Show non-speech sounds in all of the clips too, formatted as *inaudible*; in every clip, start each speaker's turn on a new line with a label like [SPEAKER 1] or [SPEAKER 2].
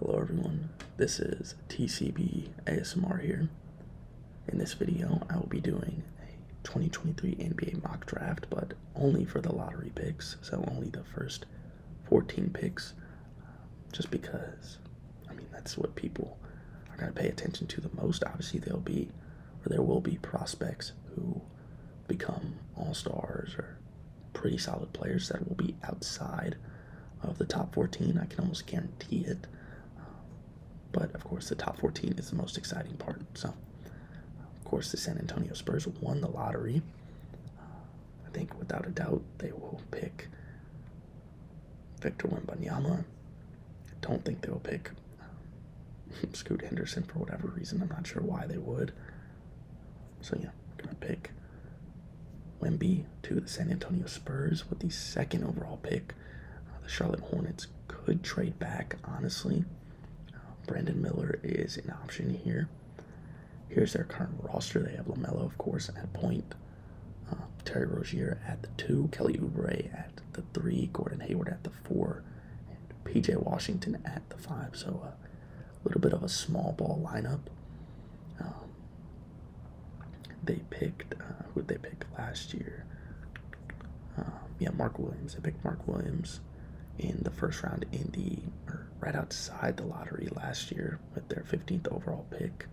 [SPEAKER 1] Hello everyone, this is TCB ASMR here. In this video, I will be doing a 2023 NBA mock draft, but only for the lottery picks, so only the first 14 picks, just because, I mean, that's what people are going to pay attention to the most. Obviously, there'll be, or there will be prospects who become all-stars or pretty solid players that will be outside of the top 14. I can almost guarantee it. But of course, the top 14 is the most exciting part. So, of course, the San Antonio Spurs won the lottery. I think without a doubt they will pick Victor Wembanyama. I don't think they will pick um, *laughs* Scoot Henderson for whatever reason. I'm not sure why they would. So yeah, we're gonna pick Wemby to the San Antonio Spurs with the second overall pick. Uh, the Charlotte Hornets could trade back, honestly. Uh, Brandon Miller is an option here. Here's their current roster. They have LaMelo, of course, at point. Uh, Terry Rozier at the two. Kelly Oubre at the three. Gordon Hayward at the four. And PJ Washington at the five. So a little bit of a small ball lineup. Um, they picked uh, who they pick last year. Um, yeah, Mark Williams. They picked Mark Williams in the first round in the right outside the lottery last year with their 15th overall pick.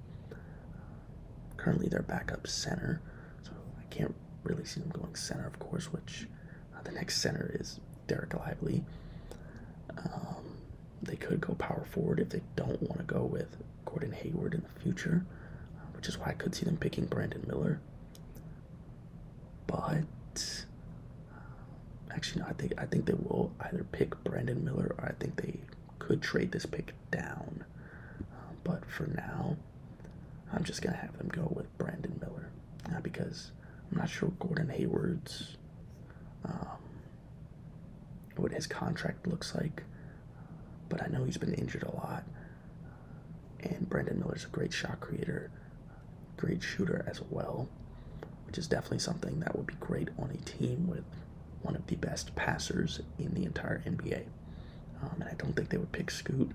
[SPEAKER 1] Currently, their backup center, so I can't really see them going center, of course. Which uh, the next center is Derek Lively. Um, they could go power forward if they don't want to go with Gordon Hayward in the future, which is why I could see them picking Brandon Miller. But uh, actually, no, I think I think they will either pick Brandon Miller or I think they could trade this pick down. Uh, but for now, I'm just gonna have them go with Brandon Miller because I'm not sure Gordon Hayward's. Um, what his contract looks like. But I know he's been injured a lot. And Brandon is a great shot creator, great shooter as well, which is definitely something that would be great on a team with one of the best passers in the entire NBA. Um, and I don't think they would pick Scoot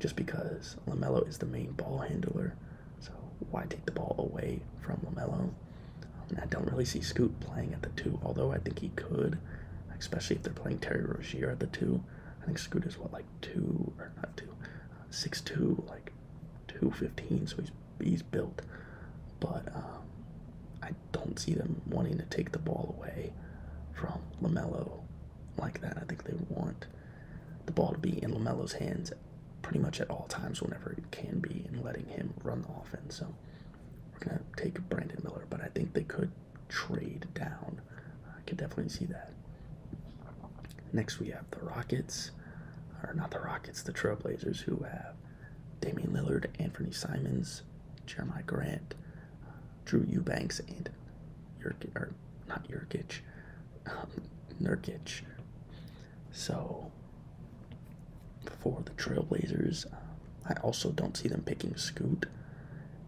[SPEAKER 1] just because LaMelo is the main ball handler. So why take the ball away from LaMelo? I don't really see Scoot playing at the two, although I think he could, especially if they're playing Terry Rozier at the two. I think Scoot is what like two or not two, six two like two fifteen. So he's he's built, but um, I don't see them wanting to take the ball away from Lamelo like that. I think they want the ball to be in Lamelo's hands pretty much at all times whenever it can be and letting him run the offense. So we're going to take Brandon Miller, but I think they could trade down. I could definitely see that. Next, we have the Rockets, or not the Rockets, the Trailblazers, who have Damian Lillard, Anthony Simons, Jeremiah Grant, Drew Eubanks, and Jurkic, or not Jurkic, um, *laughs* Nurkic. So for the Trailblazers. Um, I also don't see them picking Scoot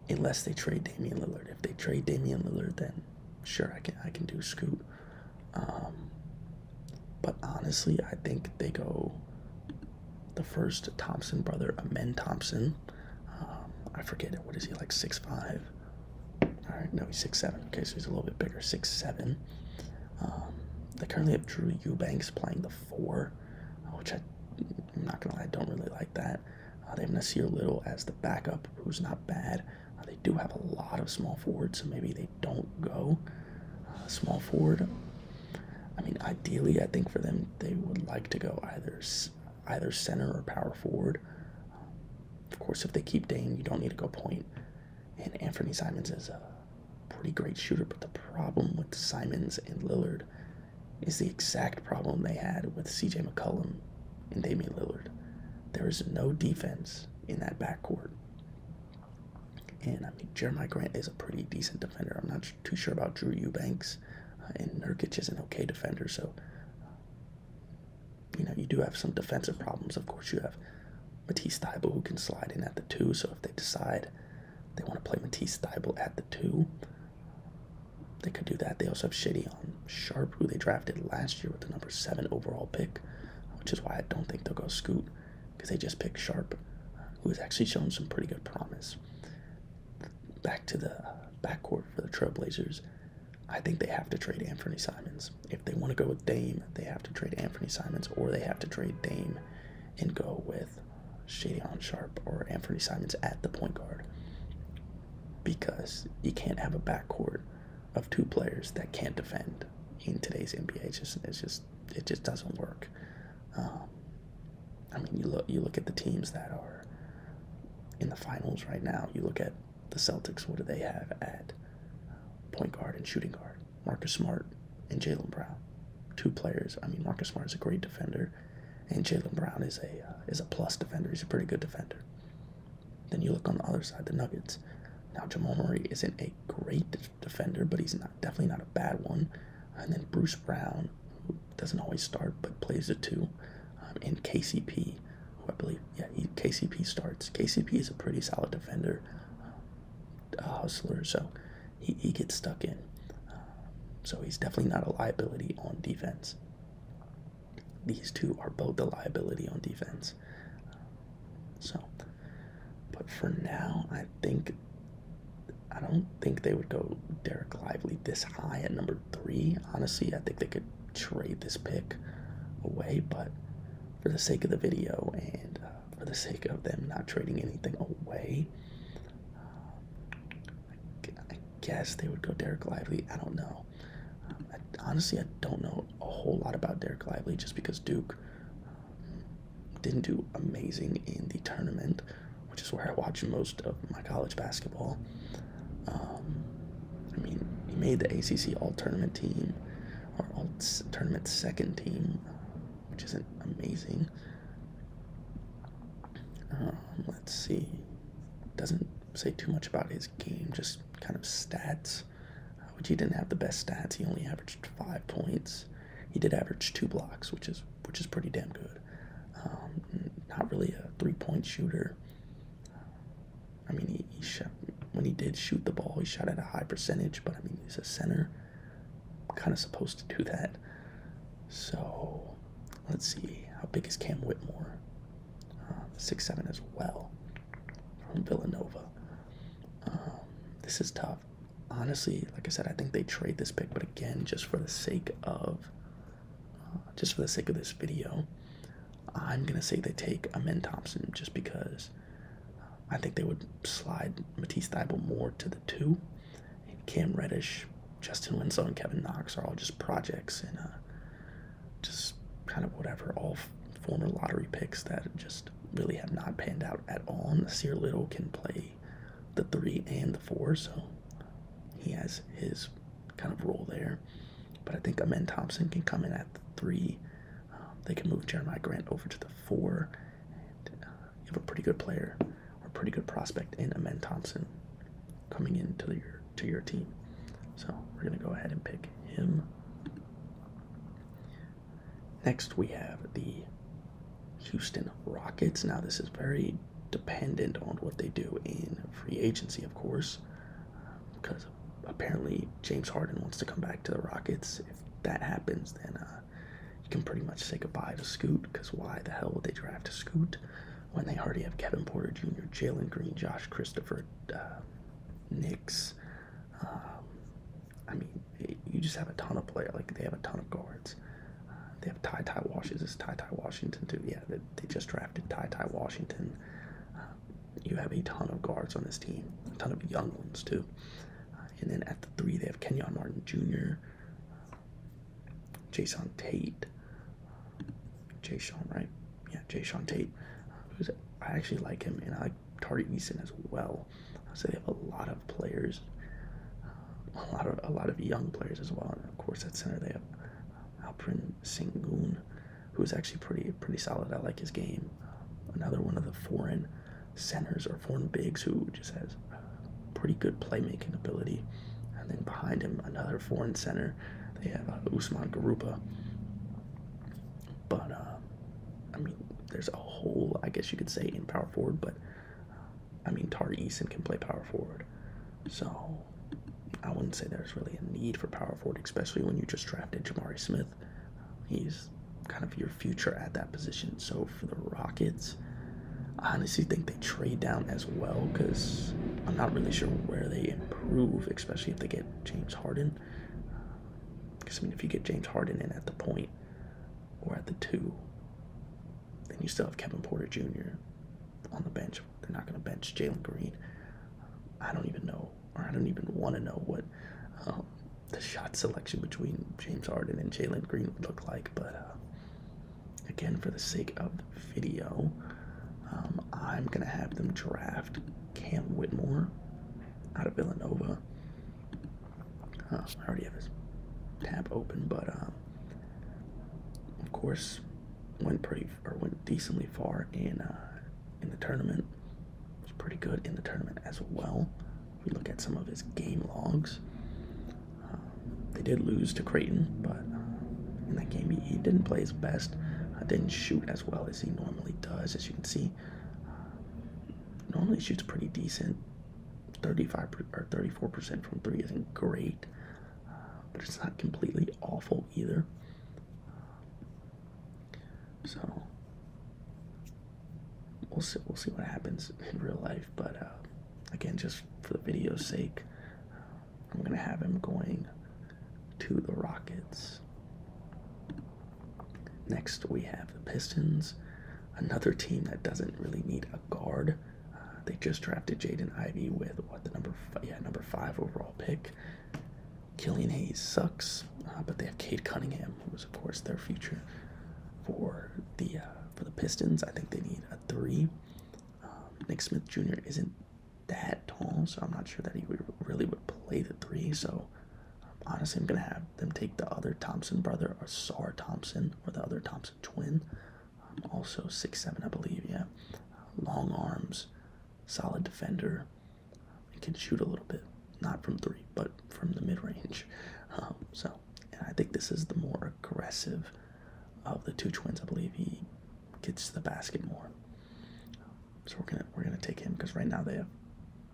[SPEAKER 1] unless they trade Damian Lillard. If they trade Damian Lillard, then sure I can I can do Scoot. Um, but honestly, I think they go the first Thompson brother, Amen Thompson. Um, I forget What is he like? Six five. All right, no, he's six seven. Okay, so he's a little bit bigger. Six seven. Um, they currently have Drew Eubanks playing the four, uh, which I, I'm not gonna lie, I don't really like that. Uh, they have Nasir Little as the backup, who's not bad. Uh, they do have a lot of small forwards, so maybe they don't go uh, small forward. I mean, ideally, I think for them, they would like to go either either center or power forward. of course, if they keep Dane, you don't need to go point. And Anthony Simons is a pretty great shooter, but the problem with Simons and Lillard is the exact problem they had with CJ McCollum and Damian Lillard. There is no defense in that backcourt. And I mean, Jeremiah Grant is a pretty decent defender. I'm not too sure about Drew Eubanks, uh, and Nurkic is an okay defender. So, you know, you do have some defensive problems. Of course, you have Matisse Thybul, who can slide in at the two. So if they decide they want to play Matisse Thybul at the two, they could do that. They also have Shady on Sharp, who they drafted last year with the number seven overall pick, which is why I don't think they'll go Scoot because they just picked Sharp, who has actually shown some pretty good promise. Back to the backcourt for the Trailblazers. I think they have to trade Anthony Simons. If they want to go with Dame, they have to trade Anthony Simons or they have to trade Dame and go with Shadyon Sharp or Anthony Simons at the point guard because you can't have a backcourt of two players that can't defend in today's NBA. just, it's just it just doesn't work. Um, I mean, you look you look at the teams that are in the finals right now. You look at the Celtics. What do they have at point guard and shooting guard? Marcus Smart and Jalen Brown, two players. I mean, Marcus Smart is a great defender, and Jalen Brown is a uh, is a plus defender. He's a pretty good defender. Then you look on the other side, the Nuggets. Now Jamal Murray isn't a great defender, but he's not definitely not a bad one. And then Bruce Brown, who doesn't always start but plays a two, and um, KCP, who I believe yeah he, KCP starts. KCP is a pretty solid defender a hustler, so he, he gets stuck in. Um, so he's definitely not a liability on defense. These two are both a liability on defense. Um, so, but for now, I think I don't think they would go Derek Lively this high at number three. Honestly, I think they could trade this pick away, but for the sake of the video and uh, for the sake of them not trading anything away. Uh, I guess they would go Derek Lively. I don't know. Uh, honestly, I don't know a whole lot about Derek Lively just because Duke um, didn't do amazing in the tournament, which is where I watch most of my college basketball. Um, I mean, he made the ACC All Tournament team or All Tournament Second Team which isn't amazing. Um, let's see. Doesn't say too much about his game, just kind of stats, which uh, he didn't have the best stats. He only averaged five points. He did average two blocks, which is which is pretty damn good. Um, not really a three-point shooter. I mean, he shot, when he did shoot the ball, he shot at a high percentage, but I mean, he's a center. I'm kind of supposed to do that. So let's see, how big is Cam Whitmore? Uh, six seven as well from Villanova. Um, this is tough. Honestly, like I said, I think they trade this pick, but again, just for the sake of uh, just for the sake of this video, I'm gonna say they take Amen Thompson just because I think they would slide Matisse Thybul more to the two. And Cam Reddish, Justin Winslow, and Kevin Knox are all just projects and uh, just kind of whatever, all former lottery picks that just really have not panned out at all. And Nasir Little can play the three and the four, so he has his kind of role there. But I think Amen Thompson can come in at the three. Um, they can move Jeremiah Grant over to the four. Uh, you have a pretty good player or pretty good prospect in Amen Thompson coming into your to your team. So we're gonna go ahead and pick him. Next we have the Houston Rockets. Now this is very dependent on what they do in free agency, of course, because um, apparently James Harden wants to come back to the Rockets. If that happens, then uh, you can pretty much say goodbye to Scoot because why the hell would they draft a Scoot when they already have Kevin Porter Jr., Jalen Green, Josh Christopher, uh, Knicks? Um, I mean, you just have a ton of players. Like they have a ton of guards. Uh, they have Ty Ty Washington. It's Ty Ty Washington too? Yeah, they, just drafted Ty Ty Washington. Uh, you have a ton of guards on this team, a ton of young ones too and then at the three, they have Kenyon Martin Jr., uh, Jason Tate, uh, Wright. Yeah, Jay Tate. who's, I actually like him, and I like Tari Eason as well. so they have a lot of players, uh, a lot of a lot of young players as well. And of course, at center they have uh, Alprin Singun, who is actually pretty pretty solid. I like his game. another one of the foreign centers or foreign bigs who just has pretty good playmaking ability. And then behind him, another foreign center. They have uh, Usman Garupa. But, uh, I mean, there's a hole. I guess you could say, in power forward. But, uh, I mean, Tari Eason can play power forward. So, I wouldn't say there's really a need for power forward, especially when you just drafted Jamari Smith. He's kind of your future at that position. So for the Rockets, I honestly think they trade down as well because I'm not really sure where they improve, especially if they get James Harden. Because, I mean, if you get James Harden in at the point or at the two, then you still have Kevin Porter Jr. on the bench. They're not going to bench Jalen Green. I don't even know, or I don't even want to know what um, the shot selection between James Harden and Jalen Green would look like, but uh, again, for the sake of the video, um, I'm gonna have them draft Cam Whitmore out of Villanova. Uh, I already have his tab open, but uh, of course, went pretty or went decently far in in the tournament. Was pretty good in the tournament as well we look at some of his game logs. Uh, they did lose to Creighton, but uh, in that game he, didn't play his best. Uh, didn't shoot as well as he normally does, as you can see. Uh, normally shoots pretty decent. 35 or 34% from three isn't great, but it's not completely awful either. So we'll see, we'll see what happens in real life. But uh, again, just for the video's sake, I'm gonna have him going to the Rockets. Next, we have the Pistons, another team that doesn't really need a guard. Uh, they just drafted Jaden Ivey with what the number yeah number five overall pick. Killian Hayes sucks, uh, but they have Kate Cunningham, who is of course their future for the uh, for the Pistons. I think they need a three. Um, Nick Smith Jr. isn't that tall, so I'm not sure that he would, really would play the three. So um, honestly, I'm gonna have them take the other Thompson brother or Saur Thompson or the other Thompson twin. Um, also six seven, I believe. Yeah, uh, long arms, solid defender, and can shoot a little bit not from three, but from the mid range. Um, so, and I think this is the more aggressive of the two twins. I believe he gets to the basket more. so we're gonna we're gonna take him because right now they have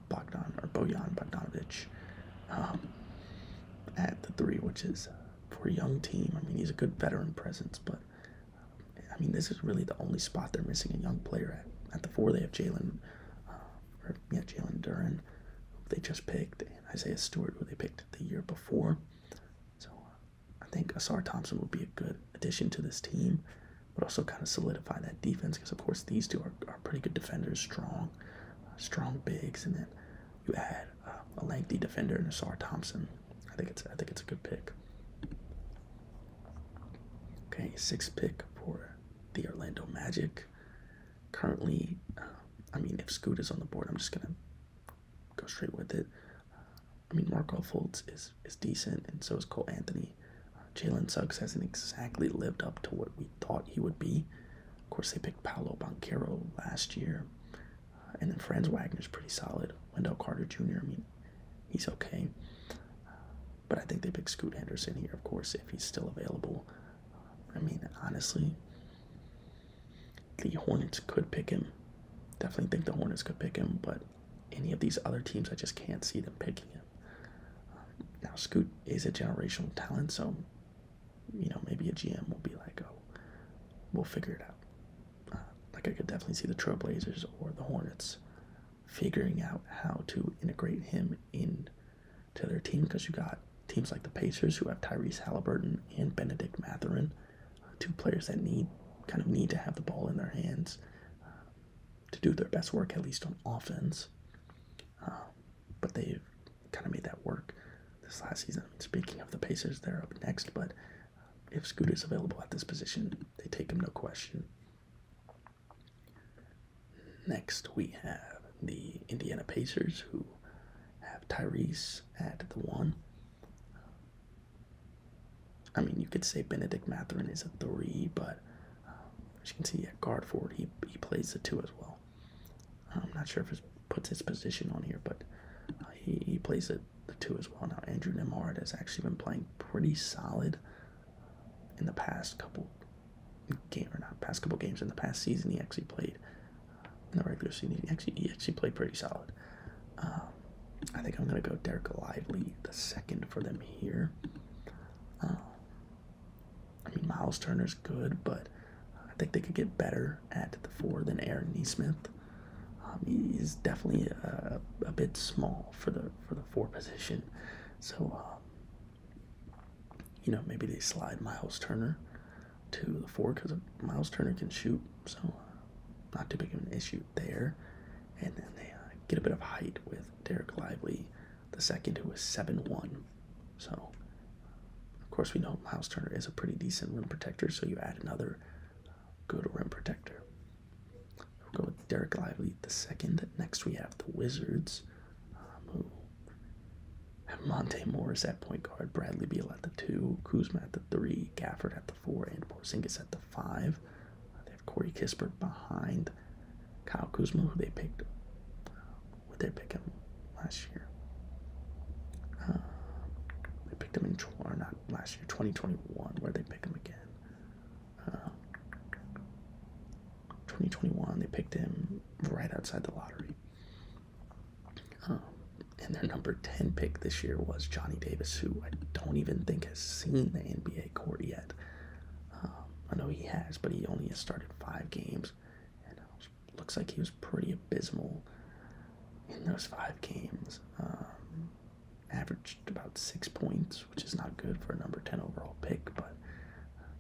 [SPEAKER 1] Bogdan or Bojan Bogdanovic um, at the three, which is uh, for a young team. I mean, he's a good veteran presence, but I mean, this is really the only spot they're missing a young player at. At the four, they have Jalen uh, or yeah, Jalen Duran, they just picked, Isaiah Stewart, who they picked the year before. So uh, I think Asar Thompson would be a good addition to this team, but also kind of solidify that defense because, of course, these two are, are pretty good defenders, strong, uh, strong bigs, and then you add uh, a lengthy defender in Asar Thompson. I think it's I think it's a good pick. Okay, sixth pick for the Orlando Magic currently, uh, I mean, if Scoot is on the board, I'm just gonna go straight with it. Uh, I mean, Marco Fultz is is decent, and so is Cole Anthony. Uh, Jalen Suggs hasn't exactly lived up to what we thought he would be. Of course, they picked Paolo Banquero last year, uh, and then Franz Wagner is pretty solid. Wendell Carter Jr. I mean, he's okay. But I think they pick Scoot Henderson here, of course, if he's still available. I mean, honestly, the Hornets could pick him. Definitely think the Hornets could pick him, but any of these other teams, I just can't see them picking him. Um, now, Scoot is a generational talent, so, you know, maybe a GM will be like, oh, we'll figure it out. Uh, like, I could definitely see the Trailblazers or the Hornets figuring out how to integrate him in to their team because you got teams like the Pacers who have Tyrese Halliburton and Benedict Matherin, two players that need kind of need to have the ball in their hands uh, to do their best work, at least on offense. Uh, but they've kind of made that work this last season. speaking of the Pacers, they're up next, but uh, if Scoot is available at this position, they take him no question. Next, we have the Indiana Pacers, who have Tyrese at the one. I mean, you could say Benedict Matherin is a three, but um, as you can see at guard forward, he, he plays the two as well. I'm not sure if it puts his position on here, but uh, he, he plays the, the two as well. Now, Andrew Nemard has actually been playing pretty solid in the past couple game or not past couple games in the past season he actually played in the regular season he actually he actually played pretty solid. Um, I think I'm gonna go Derek Lively the second for them here. Uh, I mean Miles Turner's good, but I think they could get better at the four than Aaron Neesmith. Um, he's definitely a, a bit small for the for the four position, so you know, maybe they slide Miles Turner to the four because Miles Turner can shoot, so uh, not too big of an issue there. And then they uh, get a bit of height with Derek Lively, the second, who is 7 1. So, uh, of course, we know Miles Turner is a pretty decent rim protector, so you add another good rim protector. We'll go with Derek Lively, the second. Next, we have the Wizards, um, Monte Morris at point guard, Bradley Beal at the two, Kuzma at the three, Gafford at the four, and Porzingis at the five. Uh, they have Corey Kispert behind Kyle Kuzma, who they picked. Uh, would they pick him last year? Uh, they picked him in or not last year, 2021. Where they pick him again? Uh, 2021, they picked him right outside the lottery. Um, and their number 10 pick this year was Johnny Davis, who I don't even think has seen the NBA court yet. Um, I know he has, but he only has started five games. And uh, looks like he was pretty abysmal in those five games. Um, averaged about six points, which is not good for a number 10 overall pick, but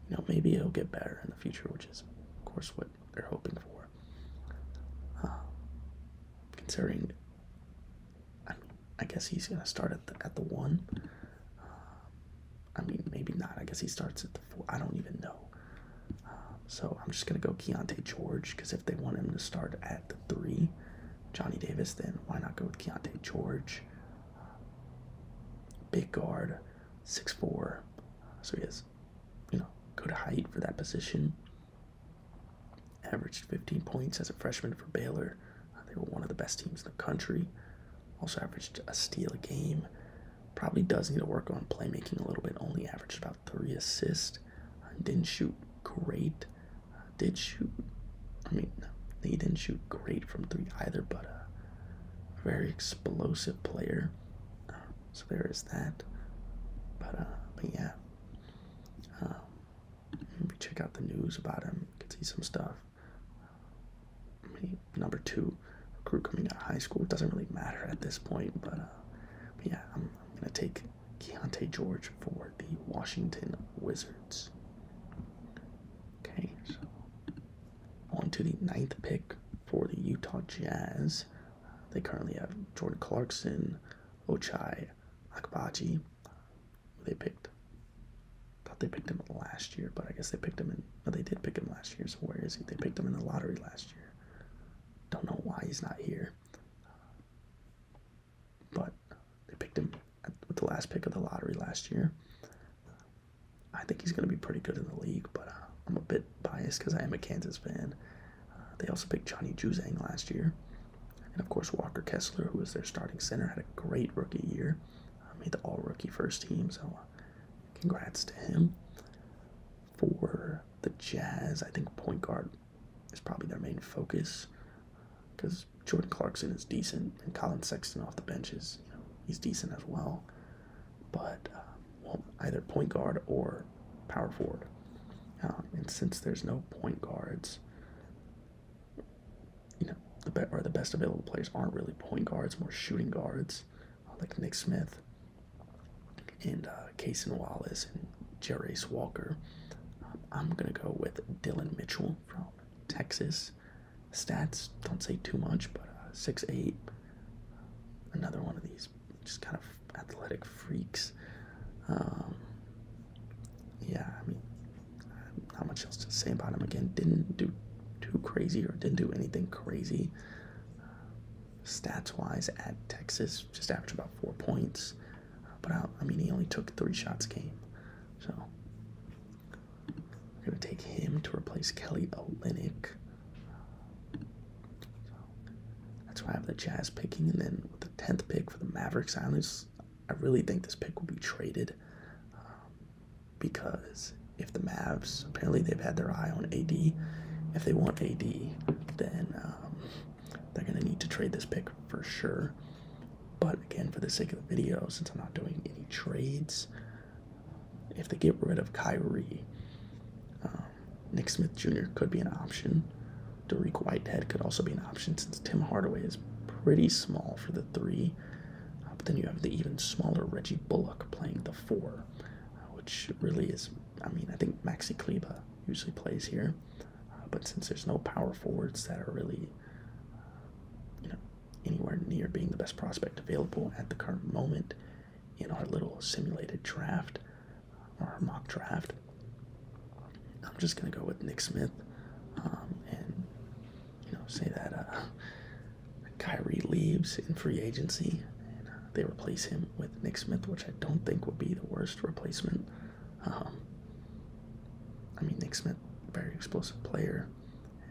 [SPEAKER 1] you know, maybe it'll get better in the future, which is, of course, what they're hoping for. Um, considering, I, guess he's going to start at the, at the one. Um, I mean, maybe not. I guess he starts at the four. I don't even know. Um, so I'm just going to go Keontae George because if they want him to start at the three, Johnny Davis, then why not go with Keontae George? Big guard, six four, so he has, you know, good height for that position. Averaged 15 points as a freshman for Baylor. Uh, they were one of the best teams in the country. Also averaged a steal a game. Probably does need to work on playmaking a little bit. Only averaged about three assists. Uh, didn't shoot great. Uh, did shoot. I mean, he didn't shoot great from three either, but uh, very explosive player. so there is that. But uh, but yeah, um, maybe check out the news about him. You can see some stuff. Maybe number two recruit coming out of high school. doesn't really matter at this point. But, uh, but yeah, I'm, I'm gonna take Keontae George for the Washington Wizards. Okay, so on to the ninth pick for the Utah Jazz. They currently have Jordan Clarkson, Ochai Akbaji. They picked. thought they picked him last year, but I guess they picked him in. Well, they did pick him last year. So where is he? They picked him in the lottery last year. Don't know why he's not here. But they picked him with the last pick of the lottery last year. I think he's going to be pretty good in the league, but uh, I'm a bit biased because I am a Kansas fan. Uh, they also picked Johnny Juzang last year. And of course, Walker Kessler, who was their starting center, had a great rookie year. Uh, made the all rookie first team, so uh, congrats to him. For the Jazz, I think point guard is probably their main focus because Jordan Clarkson is decent and Colin Sexton off the bench is, he's decent as well but um, well, either point guard or power forward. Um, and since there's no point guards, you know, the be or the best available players aren't really point guards, more shooting guards uh, like Nick Smith and uh, Wallace and Jerace Walker. Um, I'm gonna go with Dylan Mitchell from Texas. Stats don't say too much, but uh, six eight. Another one of these just kind of athletic freaks. Um, yeah, I mean, not much else to say about him. Again, didn't do too crazy or didn't do anything crazy. Uh, stats wise, at Texas, just averaged about four points. Uh, but I, I mean, he only took three shots a game. So we're going to take him to replace Kelly Olynyk. that's why I have the Jazz picking. And then with the 10th pick for the Mavericks, I, really think this pick will be traded um, because if the Mavs, apparently they've had their eye on AD. If they want AD, then um, they're going to need to trade this pick for sure. But again, for the sake of the video, since I'm not doing any trades, if they get rid of Kyrie. Um, Nick Smith Jr. could be an option. Derek Whitehead could also be an option since Tim Hardaway is pretty small for the three. Uh, but then you have the even smaller Reggie Bullock playing the four, uh, which really is, I mean, I think Maxi Kleba usually plays here. Uh, but since there's no power forwards that are really, you know, anywhere near being the best prospect available at the current moment in our little simulated draft our mock draft. I'm just gonna go with Nick Smith, um, and you know say that uh, Kyrie leaves in free agency, and uh, they replace him with Nick Smith, which I don't think would be the worst replacement. Um, I mean Nick Smith, very explosive player,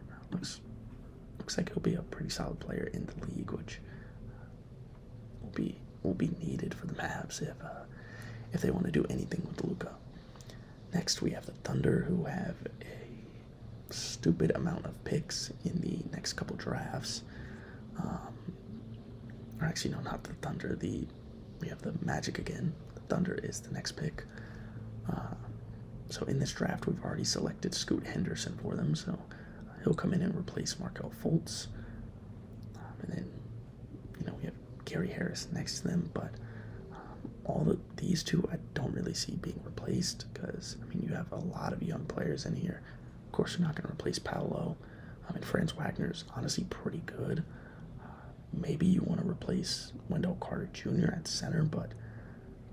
[SPEAKER 1] uh, looks looks like he'll be a pretty solid player in the league, which uh, will be will be needed for the Mavs if uh, if they want to do anything with Luca. Next, we have the Thunder, who have a stupid amount of picks in the next couple drafts. Um, or actually, no, not the Thunder. The we have the Magic again. The Thunder is the next pick. Uh, so in this draft, we've already selected Scoot Henderson for them, so he'll come in and replace Markel Fultz. Um, and then, you know, we have Gary Harris next to them, but um, all of these two I don't really see being replaced because, I mean, you have a lot of young players in here. Of course, you're not going to replace Paolo. I um, mean, Franz is honestly pretty good. Uh, maybe you want to replace Wendell Carter Jr. at center, but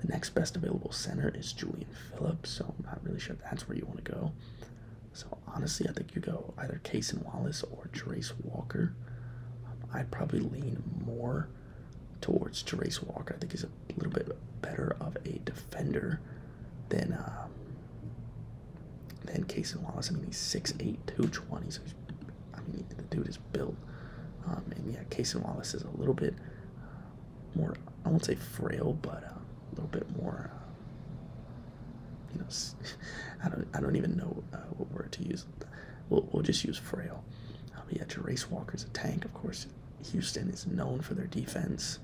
[SPEAKER 1] the next best available center is Julian Phillips, so I'm not really sure that's where you want to go. So honestly, I think you go either Case and Wallace or Trace Walker. Um, I'd probably lean more towards Trace Walker. I think he's a little bit better of a defender than um, than Case and Wallace. I mean, he's 6'8", 220, so I mean, the dude is built. Um, and yeah, Case and Wallace is a little bit more I won't say frail, but uh, a little bit more. Uh, you know, *laughs* I don't I don't even know uh, what word to use. We'll we'll just use frail. Um, yeah, Jerace Walker's a tank, of course. Houston is known for their defense,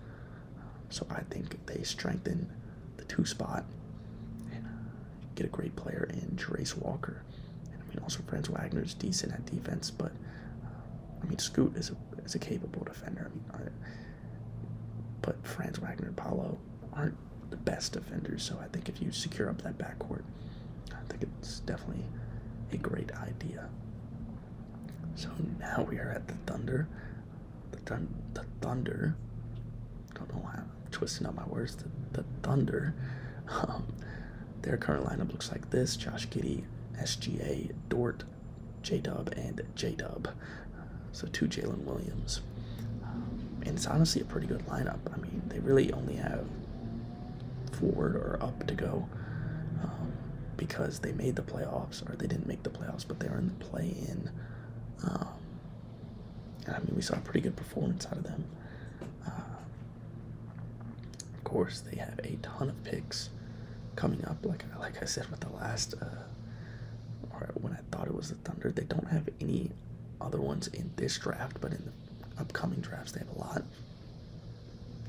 [SPEAKER 1] um, so I think they strengthen the two spot and get a great player in Jerace Walker. I mean, also Franz Wagner is decent at defense, but uh, I mean, Scoot is a is a capable defender. I mean, I, but Franz Wagner and Paolo aren't the best defenders. So I think if you secure up that backcourt, I think it's definitely a great idea. So now we are at the Thunder. The, Thunder, the Thunder. Don't know why I'm twisting up my words. The, Thunder. *laughs* Um, their current lineup looks like this Josh Giddy, SGA, Dort, J Dub, and J Dub. so, two Jalen Williams. Um, and it's honestly a pretty good lineup. I mean, they really only have forward or up to go um, because they made the playoffs, or they didn't make the playoffs, but they were in the play in. Um, I mean, we saw a pretty good performance out of them. Uh, of course, they have a ton of picks coming up. Like like I said with the last, uh, or when I thought it was the Thunder, they don't have any other ones in this draft, but in the upcoming drafts they have a lot.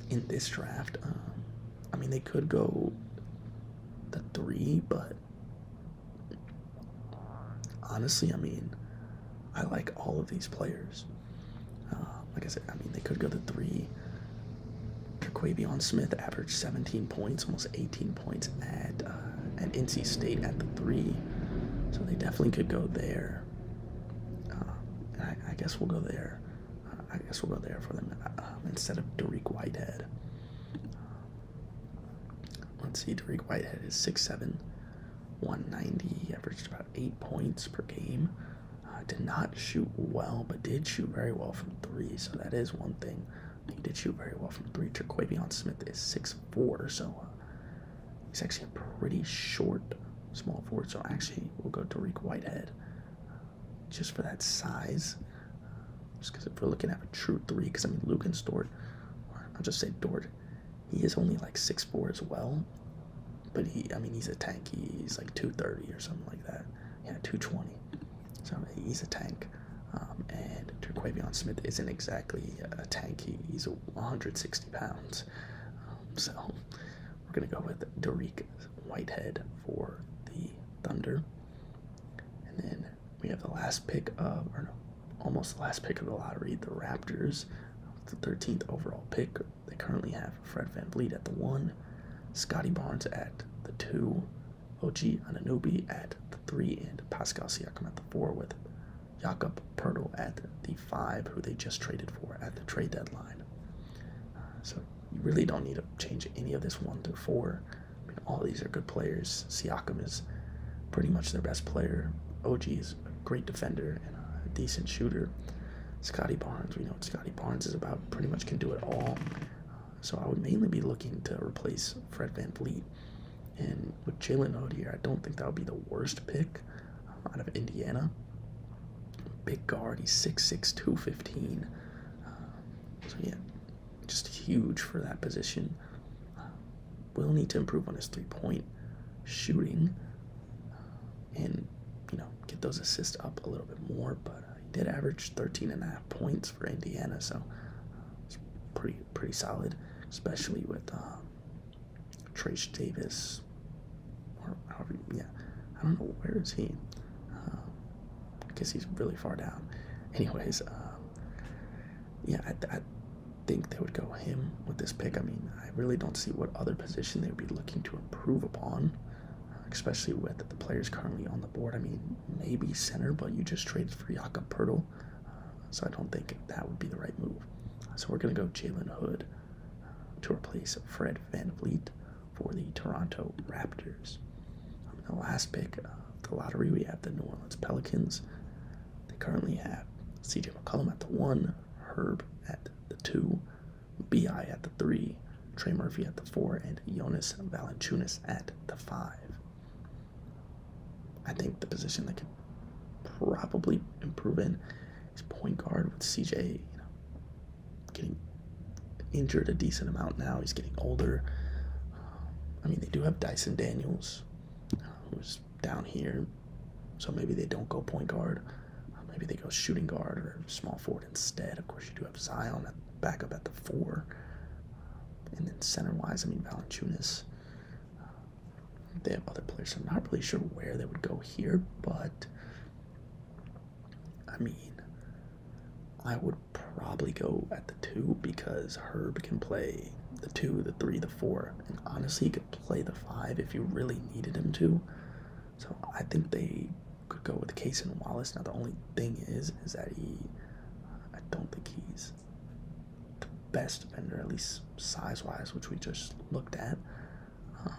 [SPEAKER 1] In this draft, um, I mean they could go the three, but honestly, I mean, I like all of these players. Uh, like I said, I mean, they could go to three. Traquavion Smith averaged 17 points, almost 18 points at, uh, at NC State at the three. So they definitely could go there. Uh, I, guess we'll go there. Uh, I guess we'll go there for them um, instead of Derek Whitehead. let's see, Derek Whitehead is 6'7", 190, averaged about 8 points per game. Uh, did not shoot well, but did shoot very well from three, so that is one thing. He did shoot very well from three. Traquavion Smith is six four, so uh, he's actually a pretty short small forward. So actually, we'll go to Tariq Whitehead uh, just for that size. just because if we're looking at a true three, because I mean Luke and Stort, I'll just say Dort, he is only like six four as well. But he, I mean, he's a tanky. He's like 230 or something like that. Yeah, 220. So he's a tank. Um, and Terquavion Smith isn't exactly a tanky. He, he's 160 pounds. Um, so we're going to go with Derek Whitehead for the Thunder. And then we have the last pick of, or no, almost the last pick of the lottery, the Raptors. The 13th overall pick, they currently have Fred Van Vliet at the one, Scotty Barnes at the two, OG Ananobi at the three, and Pascal Siakam at the four, with Jakob Pertl at the five, who they just traded for at the trade deadline. Uh, so you really don't need to change any of this one through four. I mean, all these are good players. Siakam is pretty much their best player. OG is a great defender and a decent shooter. Scotty Barnes, we know what Scotty Barnes is about, pretty much can do it all. Uh, so I would mainly be looking to replace Fred Van Vliet. And with Jalen here, I don't think that would be the worst pick uh, out of Indiana. Big guard, he's six six two fifteen. Uh, so yeah, just huge for that position. will need to improve on his three point shooting. and you know, get those assists up a little bit more. But uh, he did average 13 and a half points for Indiana, so uh, it's pretty pretty solid, especially with um, Trace Davis, or however, yeah, I don't know where is he. Uh, I he's really far down. Anyways, um, yeah, I think they would go him with this pick. I mean, I really don't see what other position they would be looking to improve upon, uh, especially with the players currently on the board. I mean, maybe center, but you just traded for Jakob Pertl, uh, so I don't think that would be the right move. So we're going to go Jalen Hood uh, to replace Fred Van Vliet for the Toronto Raptors. Um, the last pick of the lottery, we have the New Orleans Pelicans. They currently have CJ McCollum at the one, Herb at the two, Bi at the three, Trey Murphy at the four, and Jonas Valanciunas at the five. I think the position that could probably improve in is point guard with CJ. You know, getting injured a decent amount now. He's getting older. I mean, they do have Dyson Daniels, uh, who's down here, so maybe they don't go point guard. Uh, maybe they go shooting guard or small forward instead. Of course, you do have Zion at, back up at the four. And then center wise, I mean, Valanchunas. Uh, they have other players. I'm not really sure where they would go here, but I mean, I would probably go at the two because Herb can play the two, the three, the four, and honestly, he could play the five if you really needed him to. So I think they could go with Case and Wallace. Now the only thing is, is that he, I don't think he's the best defender, at least size-wise, which we just looked at. Um,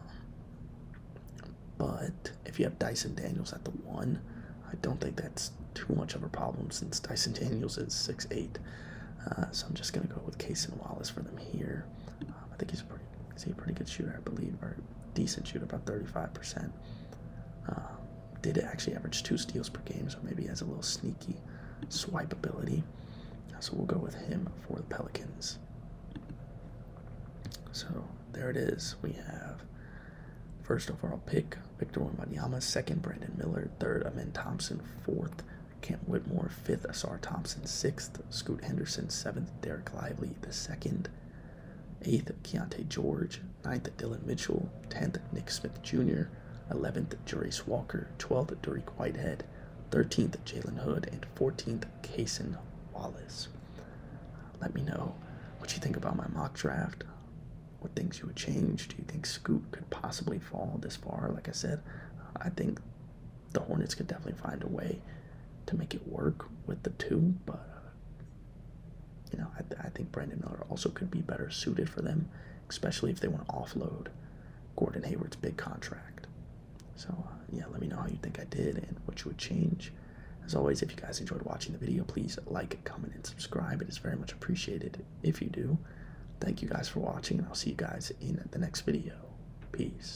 [SPEAKER 1] but if you have Dyson Daniels at the one, I don't think that's too much of a problem since Dyson *laughs* Daniels is six eight. Uh, so I'm just going to go with Case and Wallace for them here. Um, I think he's pretty He's a pretty good shooter, I believe, or decent shooter, about 35%. Uh, um, did actually average two steals per game, so maybe he has a little sneaky swipe ability. Uh, so we'll go with him for the Pelicans. So there it is. We have first overall pick, Victor Wembanyama, second, Brandon Miller, third, Amin Thompson, fourth, Kent Whitmore, fifth, Asar Thompson sixth, Scoot Henderson seventh, Derek Lively the second, eighth, Keontae George, ninth, Dylan Mitchell, tenth, Nick Smith Jr., eleventh, Jerace Walker, twelfth, Derek Whitehead, thirteenth, Jalen Hood, and fourteenth, Kaysen Wallace. Let me know what you think about my mock draft. What things you would change? Do you think Scoot could possibly fall this far? Like I said, I think the Hornets could definitely find a way to make it work with the two, but uh, you know, I, I think Brandon Miller also could be better suited for them, especially if they want to offload Gordon Hayward's big contract. So, uh, yeah, let me know how you think I did and what you would change. As always, if you guys enjoyed watching the video, please like, comment, and subscribe. It is very much appreciated if you do. Thank you guys for watching, and I'll see you guys in the next video. Peace.